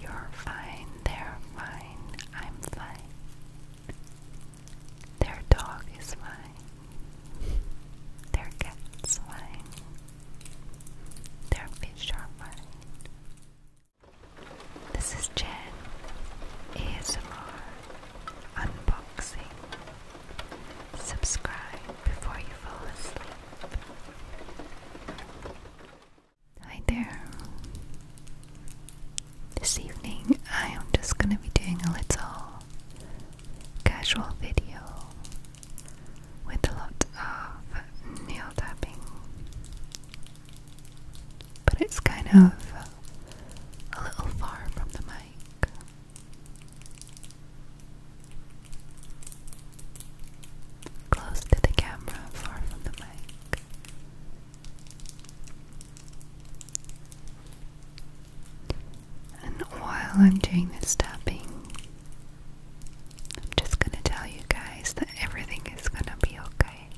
You're fine, they're fine, I'm fine. Their dog is fine. Their cat's fine. Their fish are fine. This is Jen. ASMR. Unboxing. Subscribe before you fall asleep. Hi there. This evening I am just going to be doing a little casual video with a lot of nail tapping. But it's kind of a little far from the mic. Close to the camera, far from the mic. And while I'm doing this tapping, I'm just gonna tell you guys that everything is gonna be okay.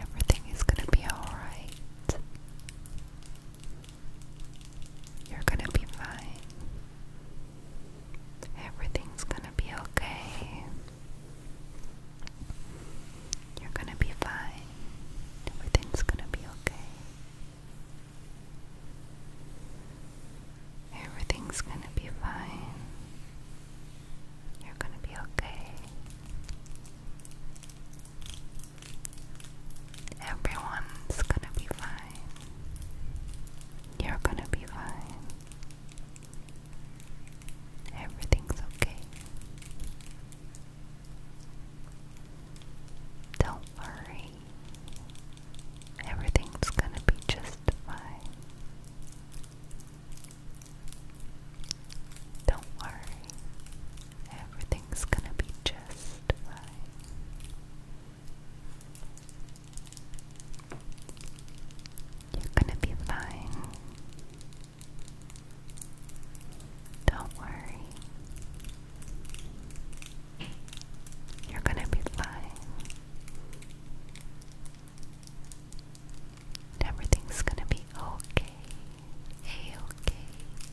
Everything is gonna be alright. You're gonna be fine. Everything's gonna be okay. You're gonna be fine. Everything's gonna be okay. Everything's gonna be fine. You're gonna be okay. Everyone's gonna be fine. You're gonna be fine. Everything's okay. Don't worry. Everything's gonna be just fine. Don't worry. Everything's gonna be just fine. You're gonna be fine. Don't worry. You're gonna be fine. Everything's gonna be okay. Hey okay,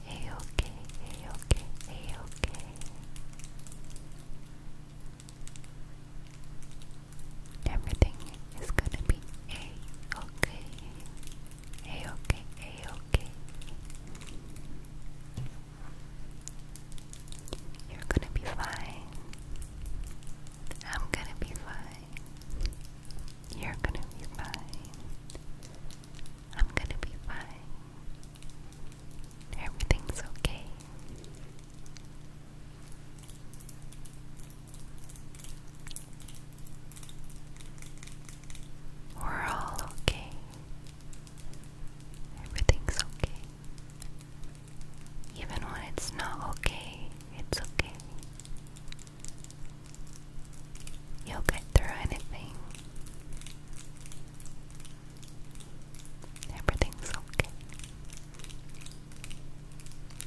hey okay, hey okay, hey okay. Everything is gonna be hey okay, hey okay, hey okay. You're gonna be fine. I'm gonna be fine. You're gonna be fine. I'm gonna be fine. Everything's okay. We're all okay. Everything's okay. Even when it's not okay, it's okay. You'll get through anything. Everything's okay.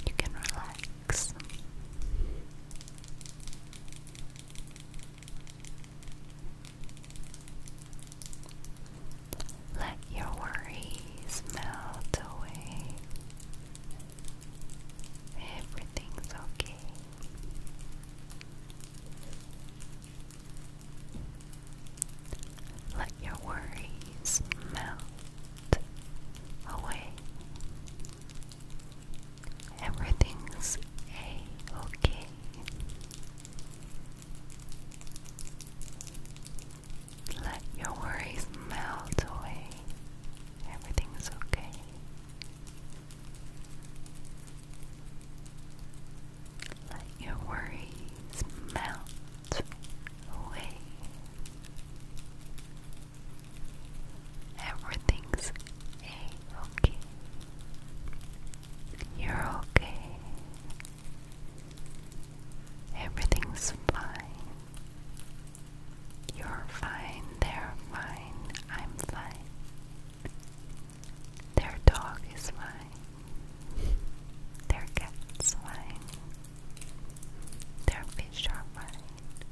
You can relax. Let your worries melt away. Everything's okay. Let your worries melt away. Everything's a okay. Let your worries melt away. Everything's okay. Let your worries melt away. Everything's okay. You're okay. Everything's fine. You're fine, they're fine, I'm fine. Their dog is fine. Their cat's fine. Their fish are fine.